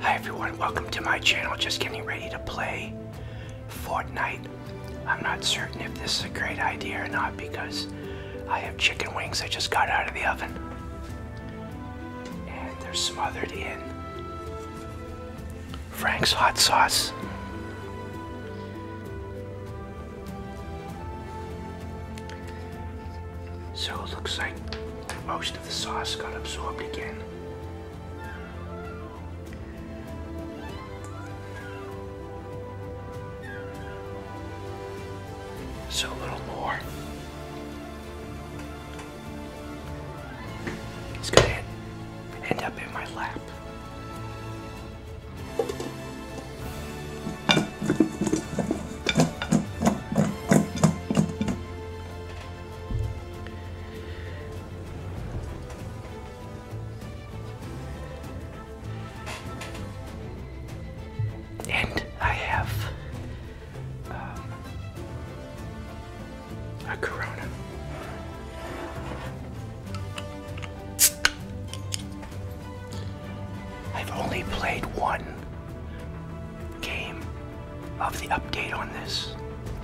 Hi everyone, welcome to my channel. Just getting ready to play Fortnite. I'm not certain if this is a great idea or not because I have chicken wings I just got out of the oven. And they're smothered in Frank's hot sauce. So it looks like most of the sauce got absorbed again. So a little more. It's gonna end up in my lap. And I have um, a Corona. I've only played one came of the update on this.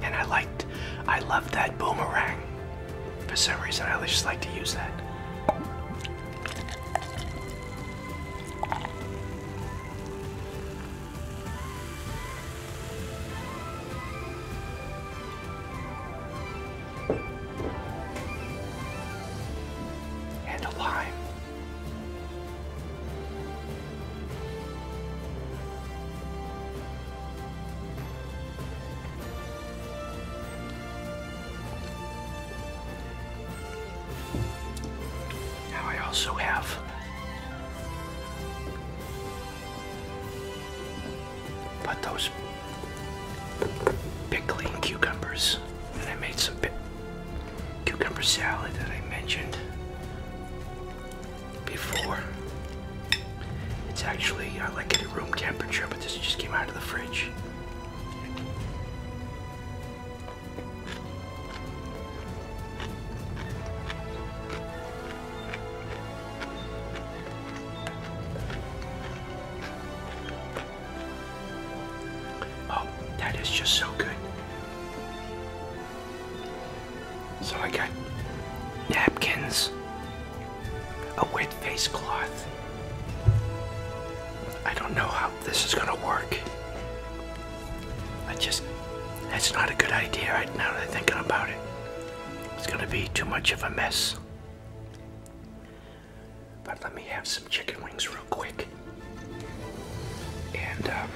And I liked, I love that boomerang. For some reason, I just like to use that. And a lime. Now I also have but those pickling cucumbers and I made some cucumber salad that I mentioned before. It's actually I like it at room temperature, but this just came out of the fridge. Oh, that is just so good. So I got napkins, a wet face cloth. I don't know how this is gonna work. I just, that's not a good idea right now that i thinking about it. It's gonna be too much of a mess. But let me have some chicken wings real quick. And um,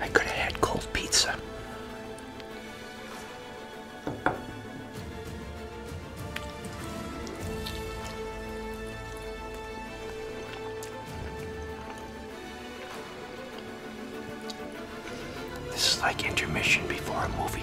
I could have had cold pizza. This is like intermission before a movie.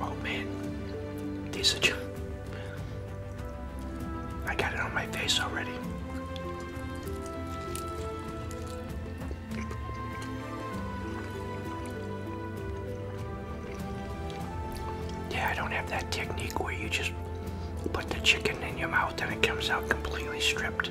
Oh man, these are just. I got it on my face already. Yeah, I don't have that technique where you just put the chicken in your mouth and it comes out completely stripped.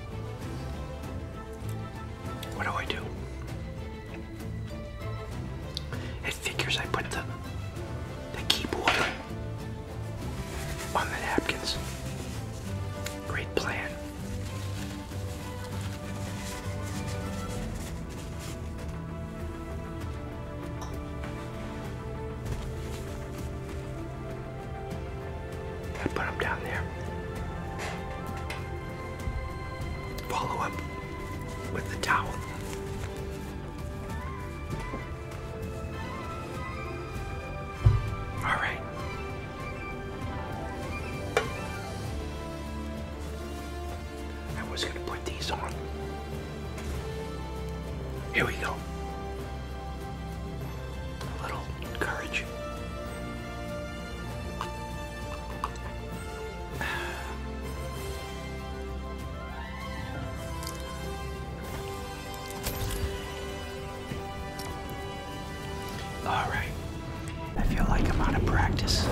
what do I do? It figures I put the the keyboard on the napkins. Great plan got put him down there. Follow him with the towel. All right. I was gonna put these on. Here we go. A little courage. All right. I feel like I'm out of practice.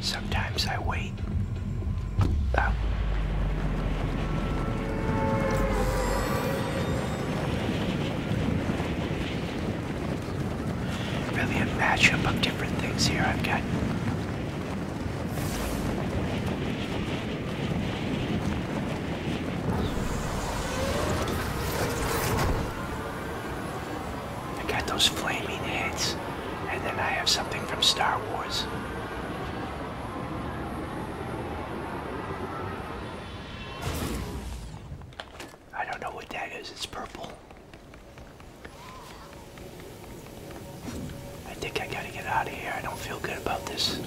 Sometimes I wait. Really a matchup of different things here. I've got I got those flaming heads, and then I have something from Star Wars. I don't know what that is, it's purple. I think I gotta get out of here. I don't feel good about this.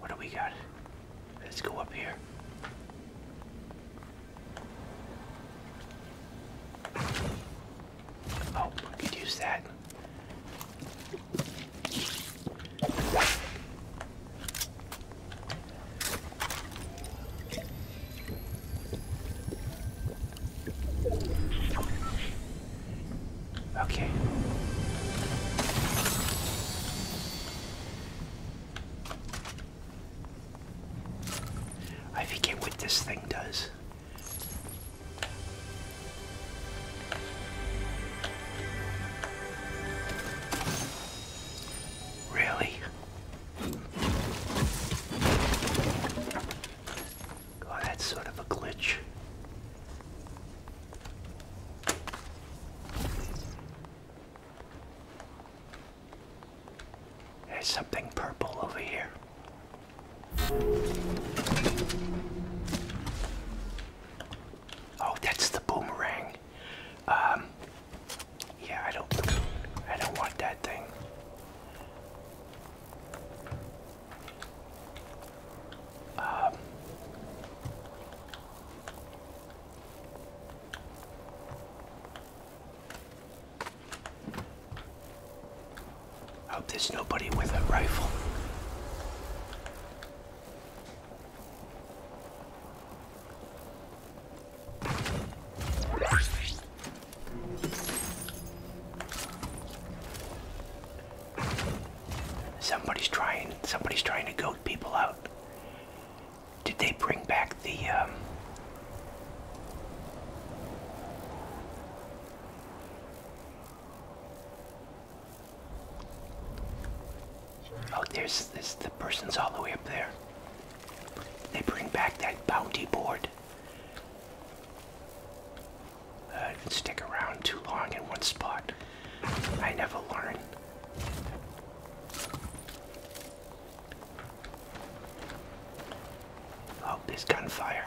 What do we got? Let's go up here. Oh, use that. Okay. I forget what this thing does. Really? Oh, that's sort of a glitch. There's something purple over here. Oh, that's the boomerang. Um, yeah, I don't, I don't want that thing. Um, I hope there's nobody with a rifle. Somebody's trying, somebody's trying to goat people out. Did they bring back the, um, Oh, there's this. The person's all the way up there. They bring back that bounty board. Uh, you can stick around too long in one spot. I never learn. Oh, there's gunfire.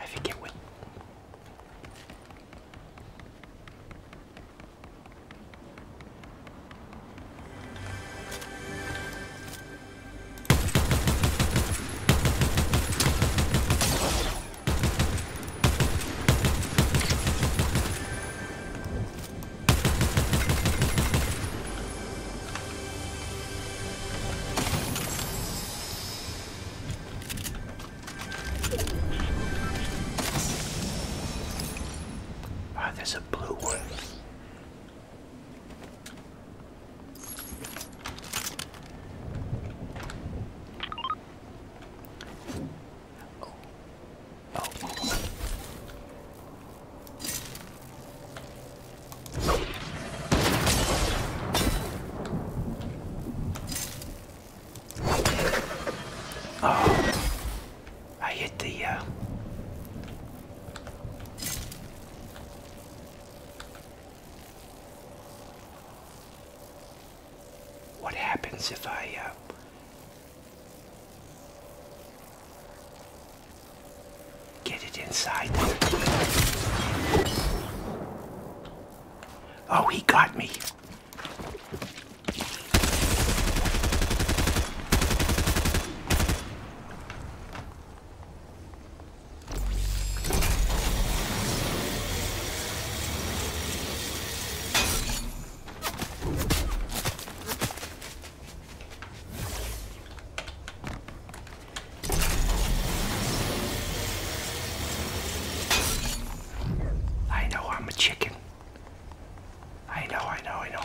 I forget what Ah, there's a blue one. Oh. I hit the, uh, what happens if I, uh, Get it inside. Oh, he got me. I know I'm a chicken. I know, I know, I know.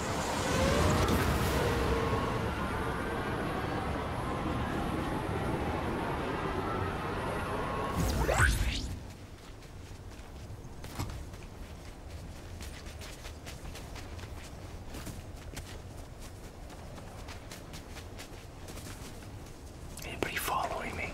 Anybody following me?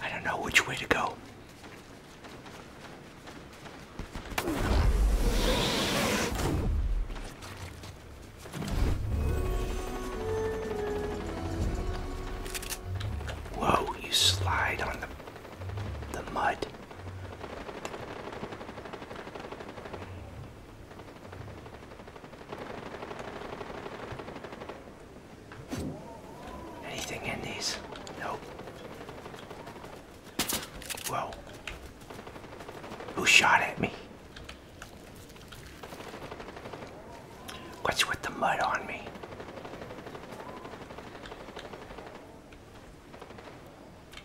I don't know which way to go. Whoa, you slide on the the mud. Anything in these? Nope. Whoa. Who shot at me? What's with the mud on me?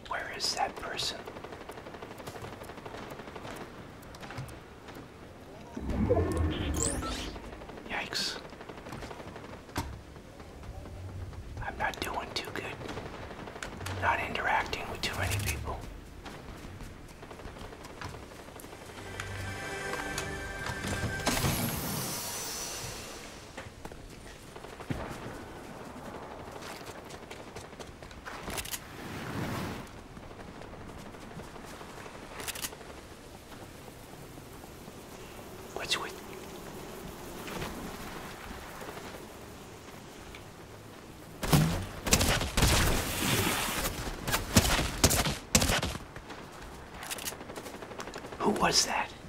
Where is that person? Yikes. I'm not doing too good. Not interacting with too many people. What's with Who was that?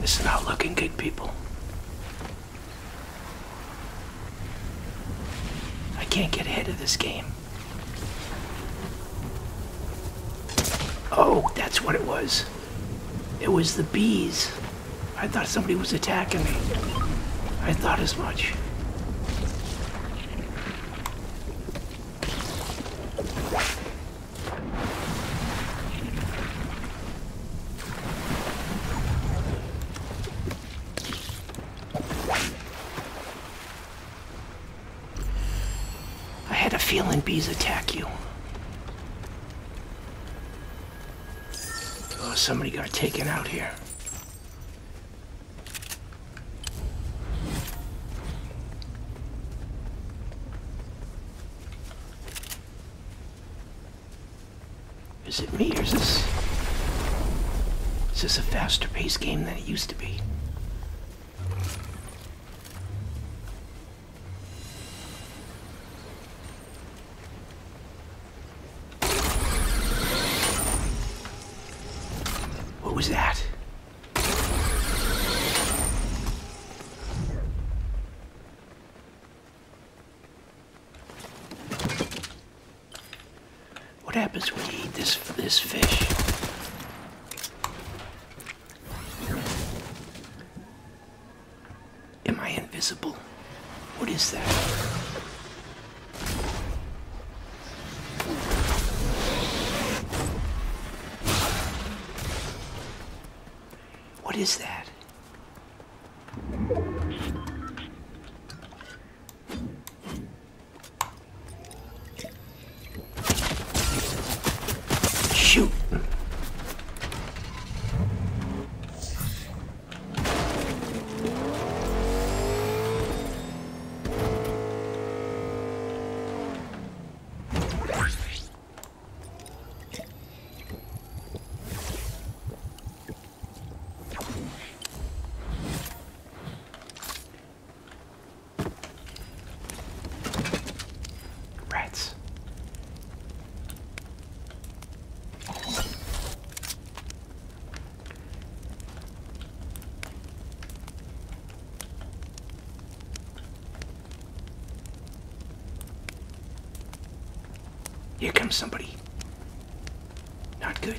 This is not looking good, people. I can't get ahead of this game. Oh, that's what it was. It was the bees. I thought somebody was attacking me. I thought as much. I had a feeling bees attack you. Oh, somebody got taken out here. Is it me or is this... Is this a faster paced game than it used to be? What was that? What happens when you eat this, this fish? Am I invisible? What is that? What is that? Shoot. Rats. Here comes somebody. Not good.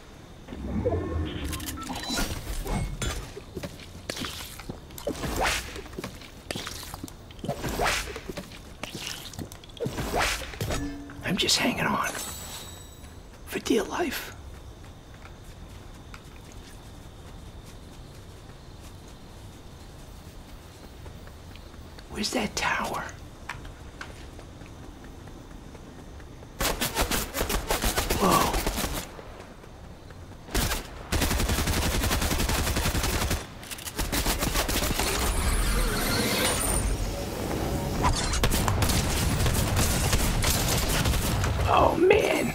I'm just hanging on for dear life. Where's that tower? Whoa. Oh man,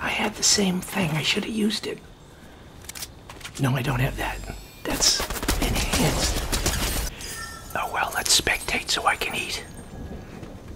I had the same thing. I should have used it. No, I don't have that. That's enhanced. Oh well, let's spectate so I can eat.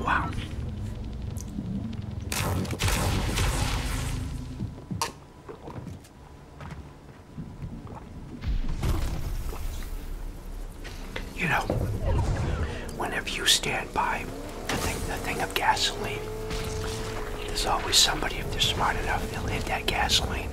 Wow. You know, whenever you stand by the thing, the thing of gasoline, there's always somebody, if they're smart enough, they'll hit that gasoline.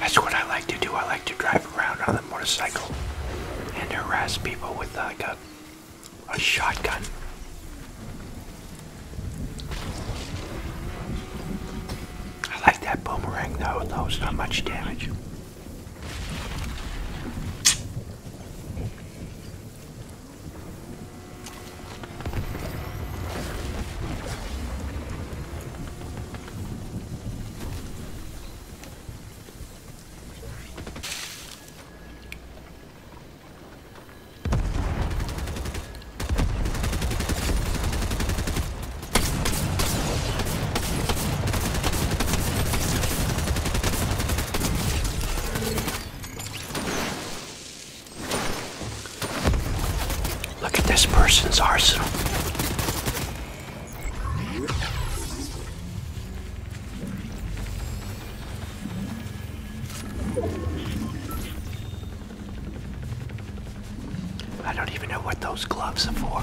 That's what I like to do. I like to drive around on a motorcycle and harass people with like gun a shotgun. I like that boomerang though, it knows not much damage. Look at this person's arsenal. I don't even know what those gloves are for.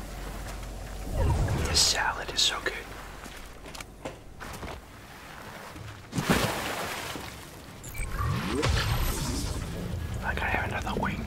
This salad is so good. I got another wing.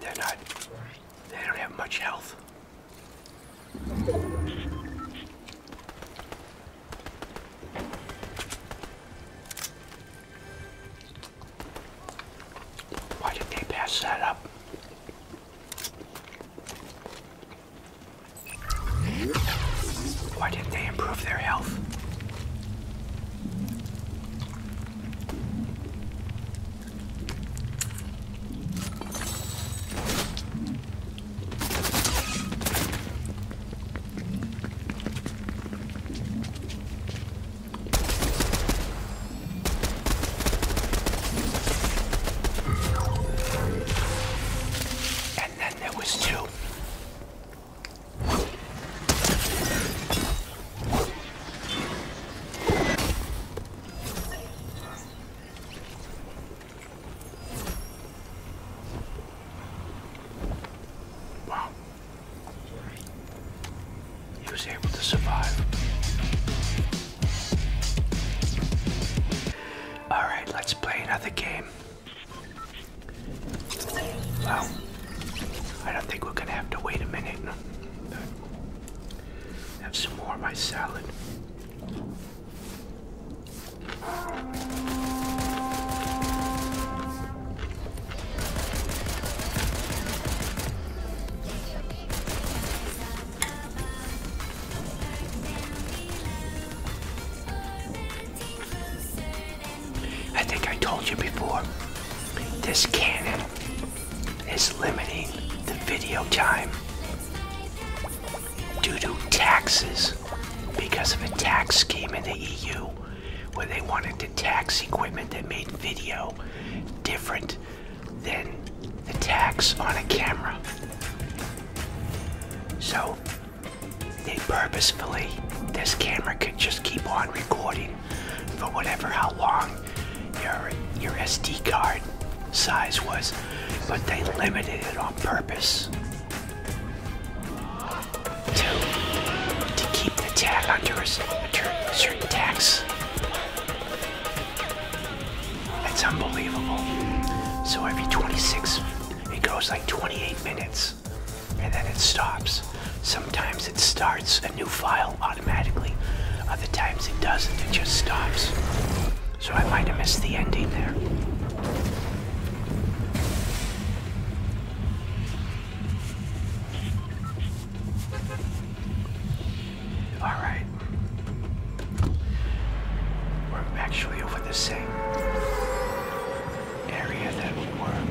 They're not, they don't have much health. Why did they pass that up? Why didn't they improve their health? And then there was two. Wow. He was able to survive. Alright, let's play another game. Well, I don't think we're gonna have to wait a minute. Have some more of my salad. I think I told you before, this cannon is limiting the video time due to taxes because of a tax scheme in the EU where they wanted to tax equipment that made video different than the tax on a camera. So they purposefully, this camera could just keep on recording for whatever how long your your SD card size was, but they limited it on purpose to, to keep the tag under a certain tax. It's unbelievable. So every 26, it goes like 28 minutes, and then it stops. Sometimes it starts a new file automatically. Other times it doesn't, it just stops. So I might have missed the ending there. Alright. We're actually over the same area that we were.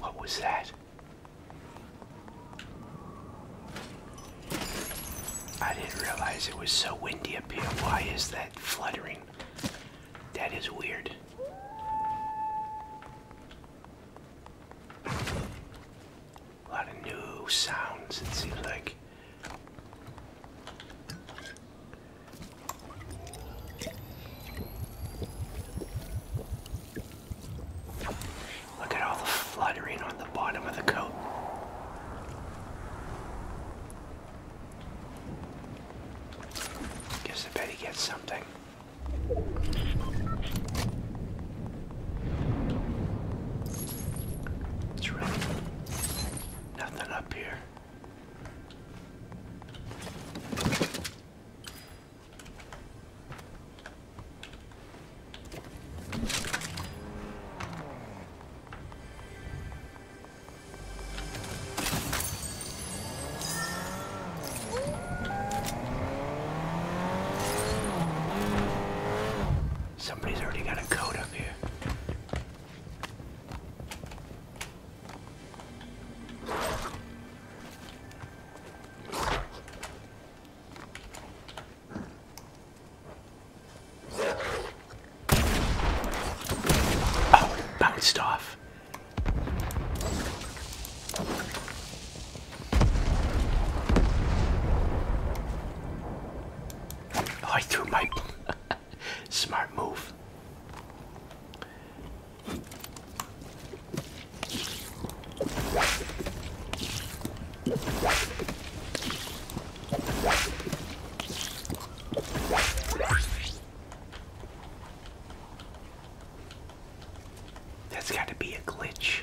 What was that? I didn't realize it was so windy up here. Why is that fluttering? That is weird. A lot of new sounds, it seems like. Look at all the fluttering on the bottom of the coat. Guess I bet he gets something. It's really nothing up here. Somebody's already got a code up here. Oh, bounced off. I threw my Smart move. That's got to be a glitch.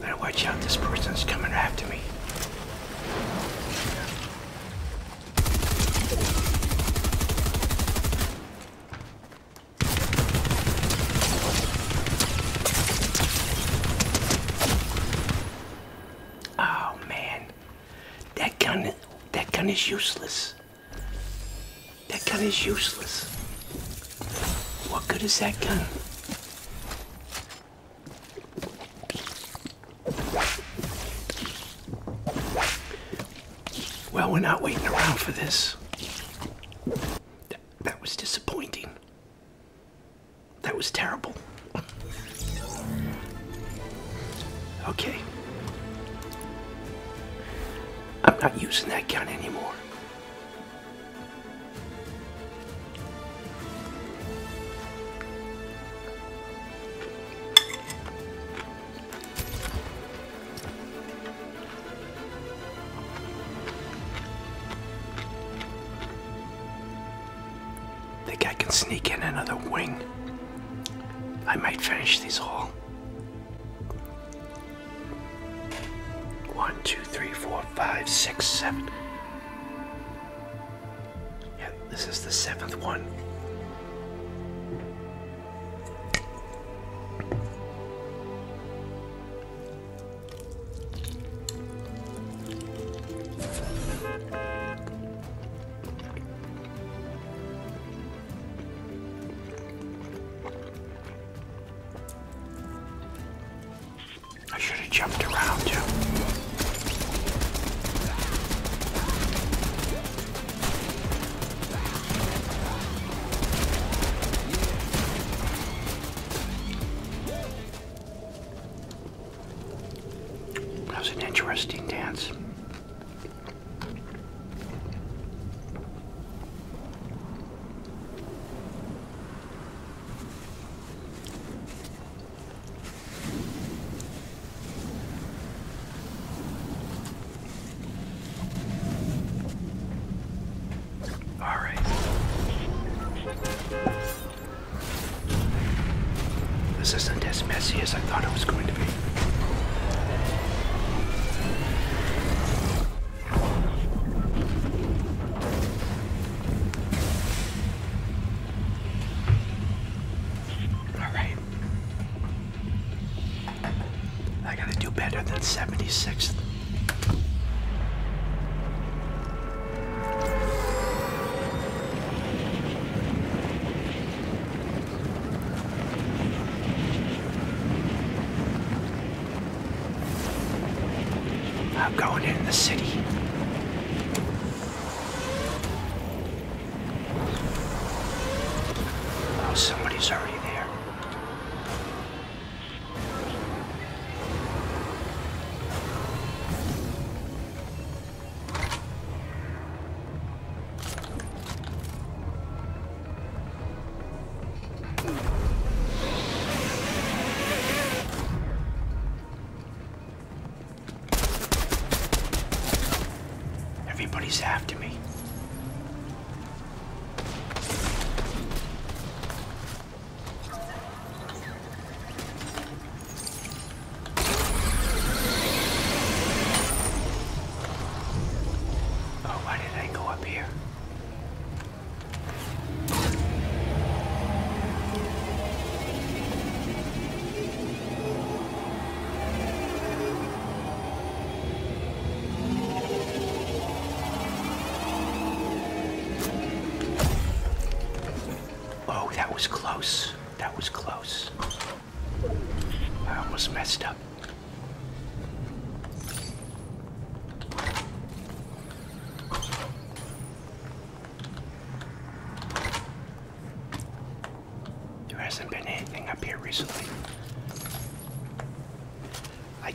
Now watch out, this person's coming after me. Oh man, that gun, that gun is useless. That gun is useless. What good is that gun? Well, we're not waiting around for this. That, was disappointing. That was terrible. Okay. I'm not using that gun anymore. Think I can sneak in another wing. I might finish these all. One, two, three, four, five, six, seven. Yeah, this is the seventh one. I should have jumped around too. That was an interesting dance. All right. This isn't as messy as I thought it was going to be. All right. I gotta do better than 76th. I'm going in the city. Oh, somebody's already there. Everybody's after me. Oh, why did I go up here? Oh, that was close. That was close. I almost messed up. There hasn't been anything up here recently. I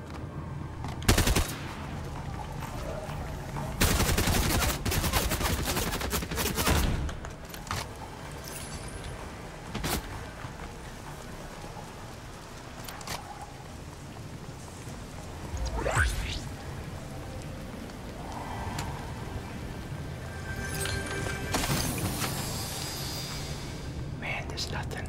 Man, there's nothing.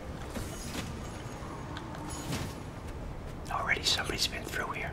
Already somebody's been through here.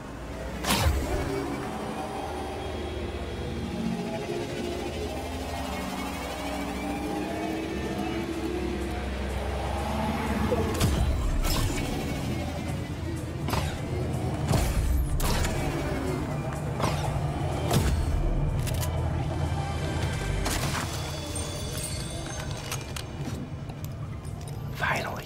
Finally.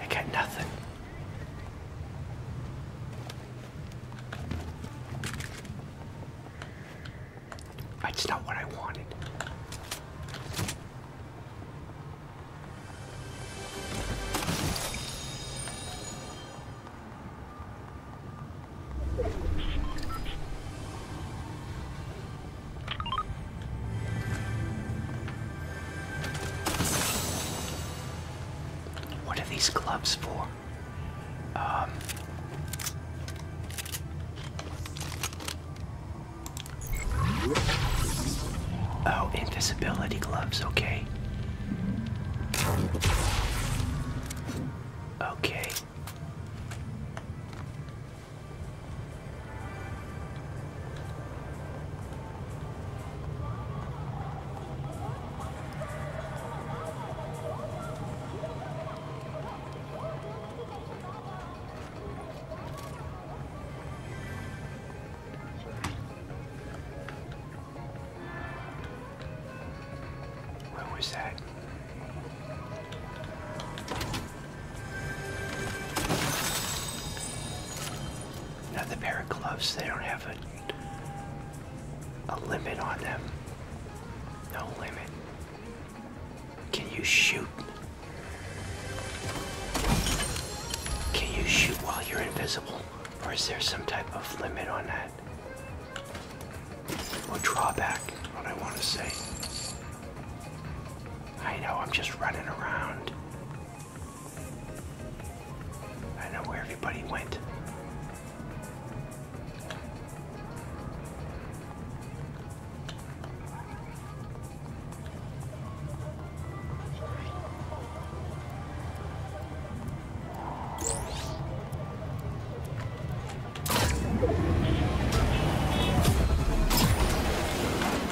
I got nothing. That's not what I wanted. What are these gloves for? Um, oh, invisibility gloves, okay. Okay. What was that? Another pair of gloves, they don't have a, a limit on them. No limit. Can you shoot? Can you shoot while you're invisible? Or is there some type of limit on that? Or drawback, what I want to say. I know, I'm just running around. I know where everybody went.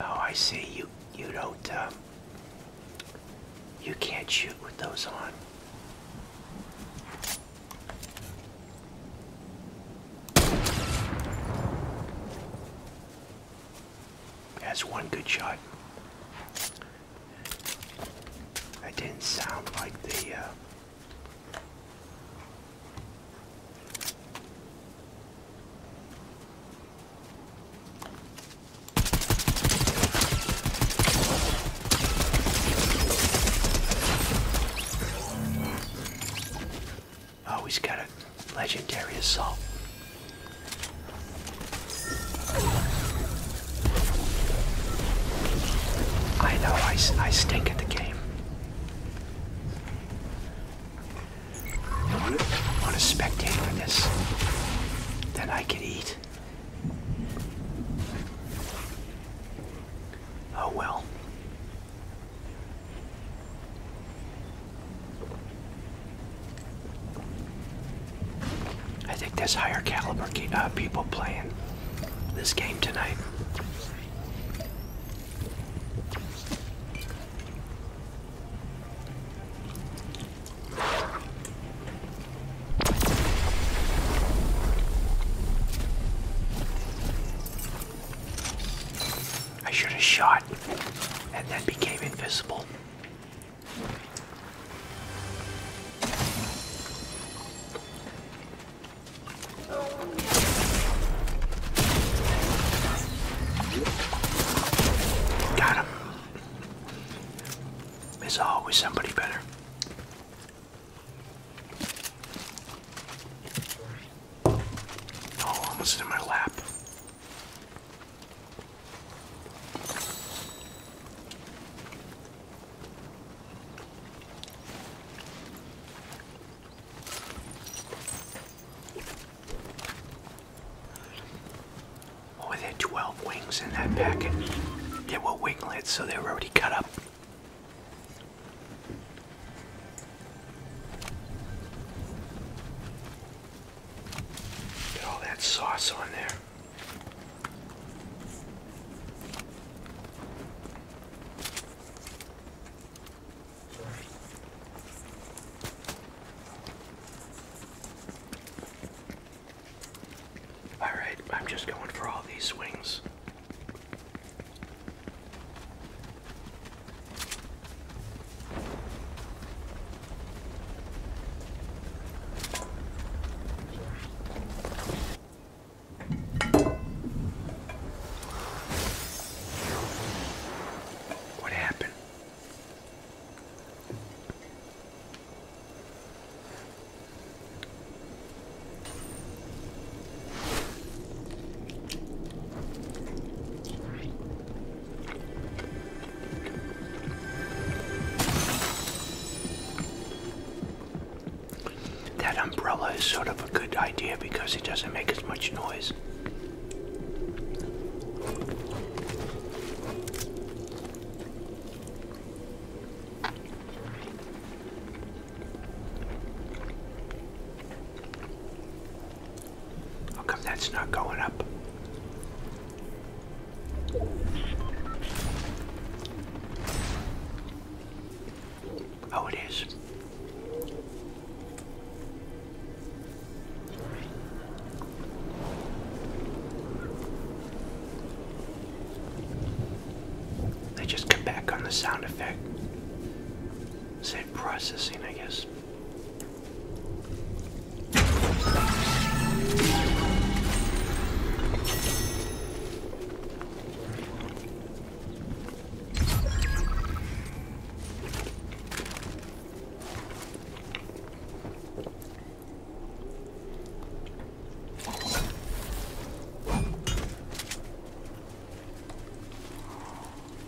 Oh, I see. You you don't um, you can't shoot with those on. That's one good shot. That didn't sound like the. Uh, Oh, he's got a legendary assault. I know, I, I stink at the game. I want to spectate on this. Then I could eat. Oh well. I think there's higher caliber uh, people playing this game tonight. I should have shot and then became invisible. Got him. There's always somebody better. Oh, almost in my lap. Oh, there are 12 wings in that packet. They were winglets, so they were already cut up. Get all that sauce on there. All right, I'm just going for all these swings. What happened? That umbrella is sort of a good idea because it doesn't make as much noise. How come that's not going up? Oh, it is. They just come back on the sound effect processing, I guess.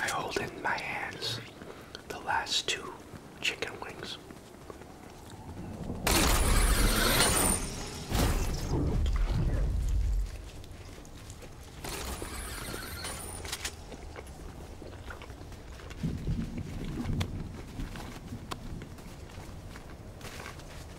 I hold in my hands the last two chicken wings.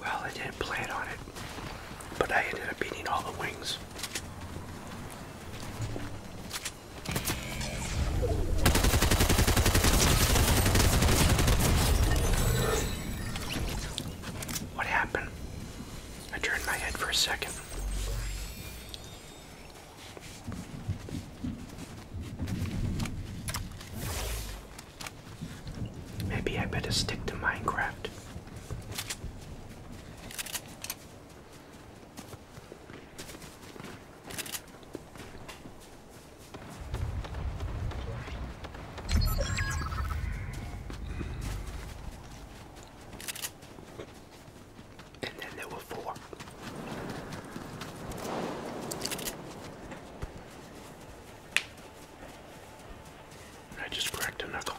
Well, I didn't plan on it, but I ended up eating all the wings. What happened? I turned my head for a second. Maybe I better stick to Minecraft and then there were four. I just cracked a knuckle.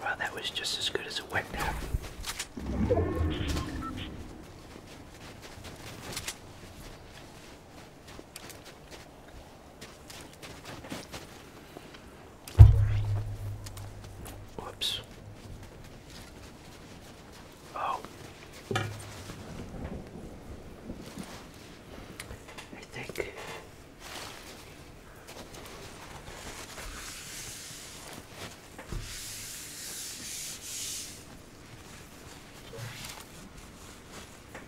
Well, that was just as good as it went down. Whoops. Oh. I think.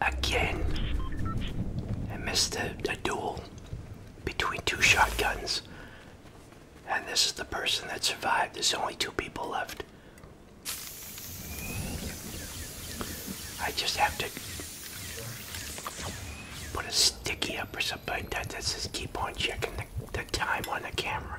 Again, I missed a, duel between two shotguns. And this is the person that survived. There's only two people left. I just have to put a sticky up or something. But like that that keep on checking the time on the camera.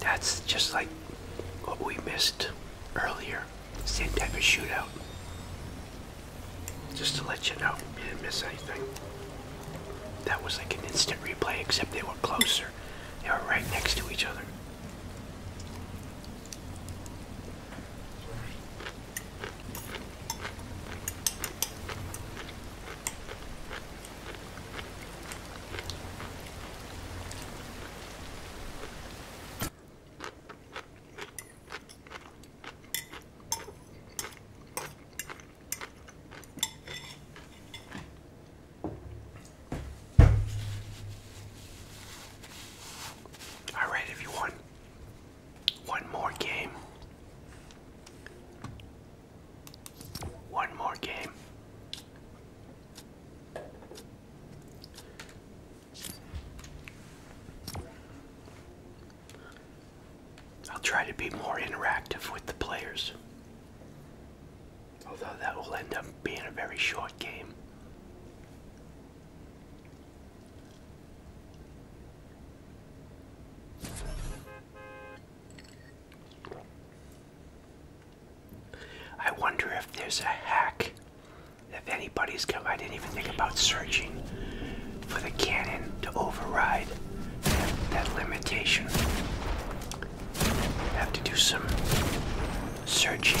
That's just like what we missed earlier. Same type of shootout. Just to let you know, you didn't miss anything. That was like an instant replay, except they were closer. They were right next to each other. All right, everyone. One more game. One more game. I'll try to be more interactive with the players. Although that will end up being a very short game. I wonder if there's a hack. If anybody's come, I didn't even think about searching for the cannon to override that, limitation. have to do some searching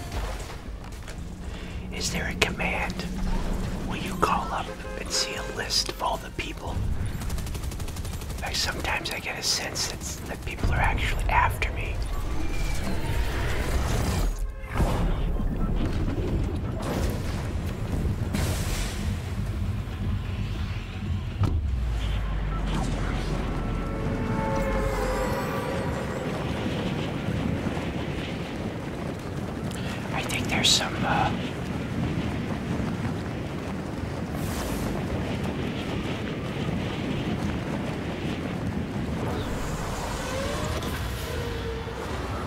Is there a command? Will you call up and see a list of all the people? I sometimes I get a sense that people are actually after me. I think there's some uh,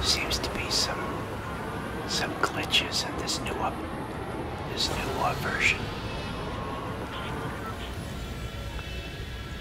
seems to be some some glitches in this new up this new uh, version.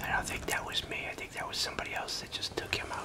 I don't think that was me. I think that was somebody else that just took him out.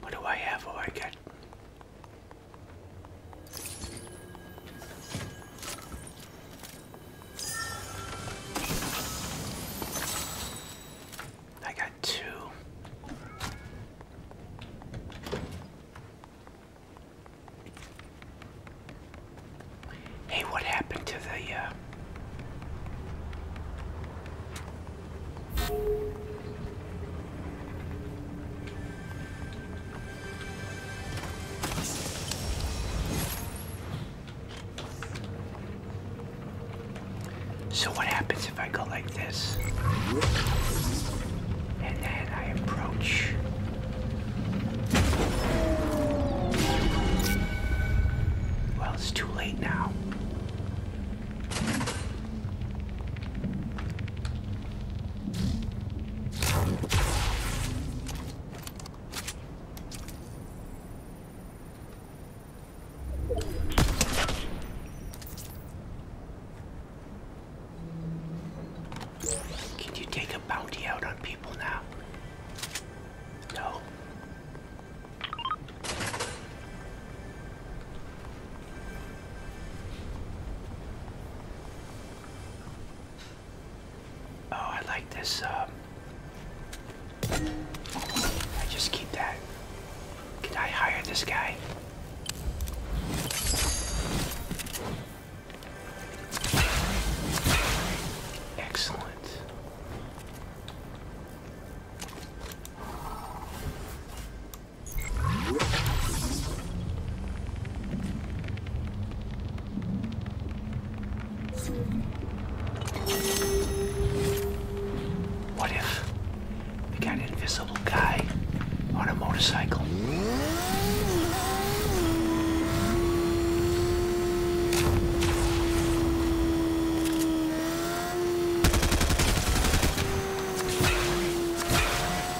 What do I have? Oh, I got I got two. Hey, what happened to the uh so what happens if I go like this? And then I approach. Well, it's too late now. Can you take a bounty out on people now? No. Oh, I like this. Um, I just keep that. Can I hire this guy? Excellent. What if we got an invisible guy on a motorcycle?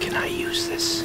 Can I use this?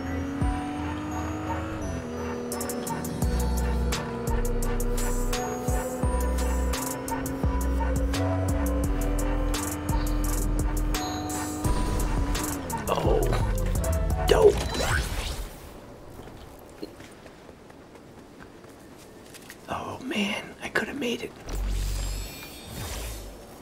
Oh man, I could have made it.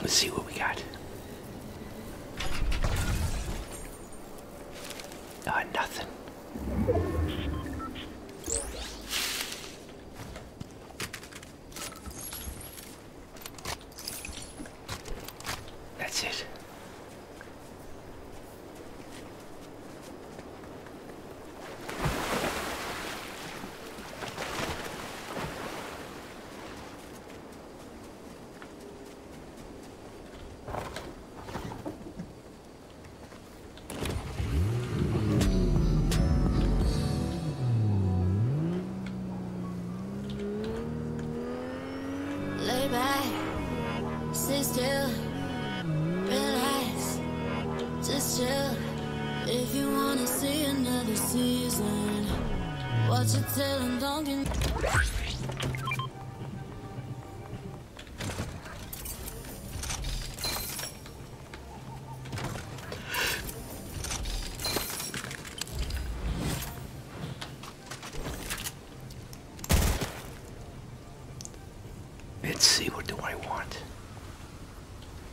Let's see what we got. Ah, nothing. That's it sit still, relax, just chill. If you wanna see another season, watch your tail and don't Let's see, what do I want?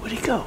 Where'd he go?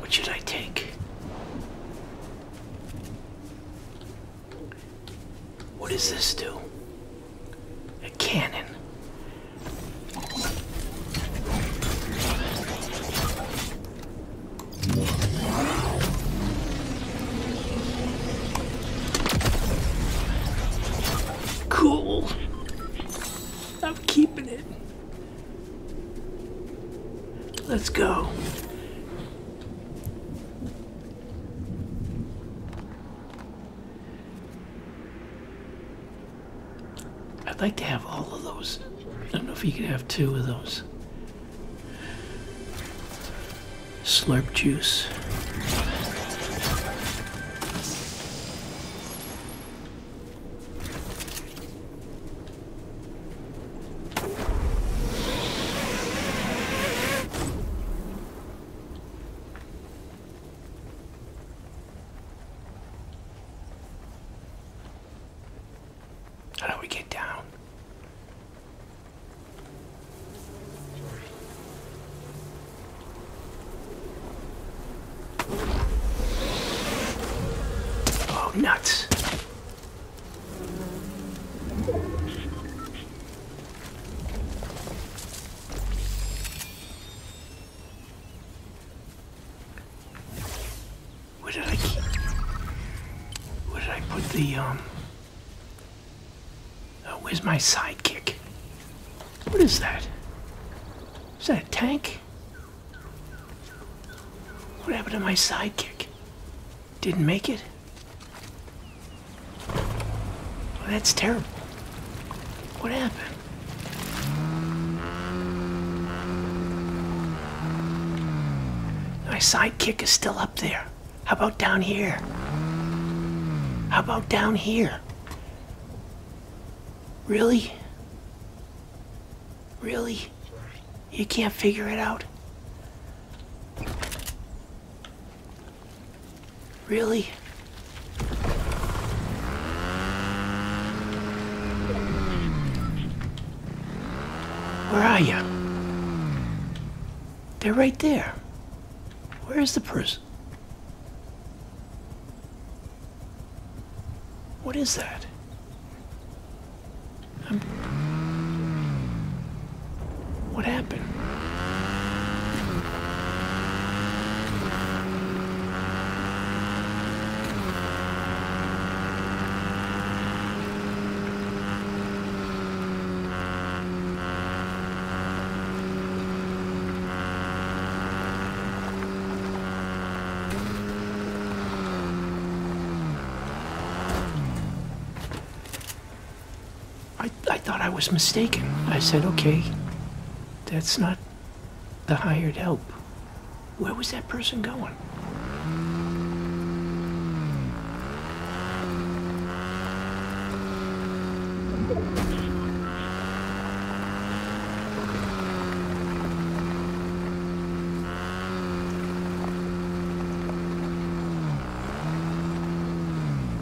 What should I take? What does this do? A cannon. Cool. I'm keeping it. Let's go. I'd like to have all of those. I don't know if you could have two of those. Slurp juice. How do we get down? Oh, nuts. Where did I keep? Where did I put the um? Oh, where's my sidekick? What is that? Is that a tank? What happened to my sidekick? Didn't make it? That's terrible. What happened? My sidekick is still up there. How about down here? How about down here? Really? Really? You can't figure it out? Really? Where are you? They're right there. Where is the person? What is that? What happened? I, I thought I was mistaken. I said, okay, that's not the hired help. Where was that person going?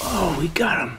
Oh, we got him.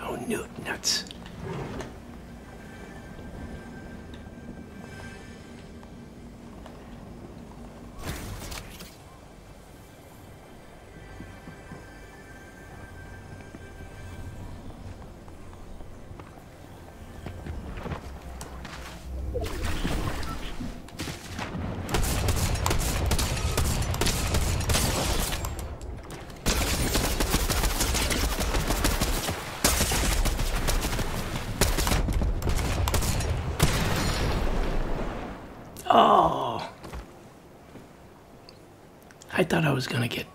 Oh, no, nuts. Oh! I thought I was gonna get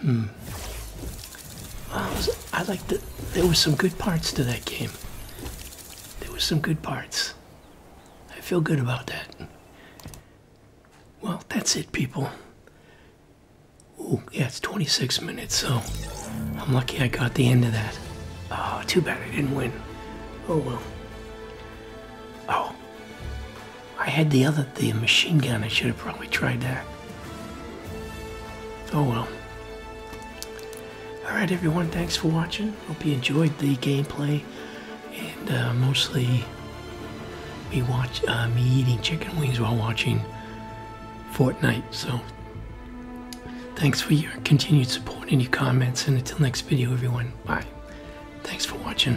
Hmm. I like that. There were some good parts to that game. There were some good parts. I feel good about that. Well, that's it, people. Oh, yeah, it's 26 minutes, so I'm lucky I got the end of that. Oh, too bad I didn't win. Oh well. Oh, I had the other, the machine gun. I should have probably tried that. Oh well. Alright, everyone, thanks for watching. Hope you enjoyed the gameplay and uh, mostly me watching uh, me eating chicken wings while watching Fortnite. So, thanks for your continued support and your comments. And until next video, everyone, bye. Thanks for watching.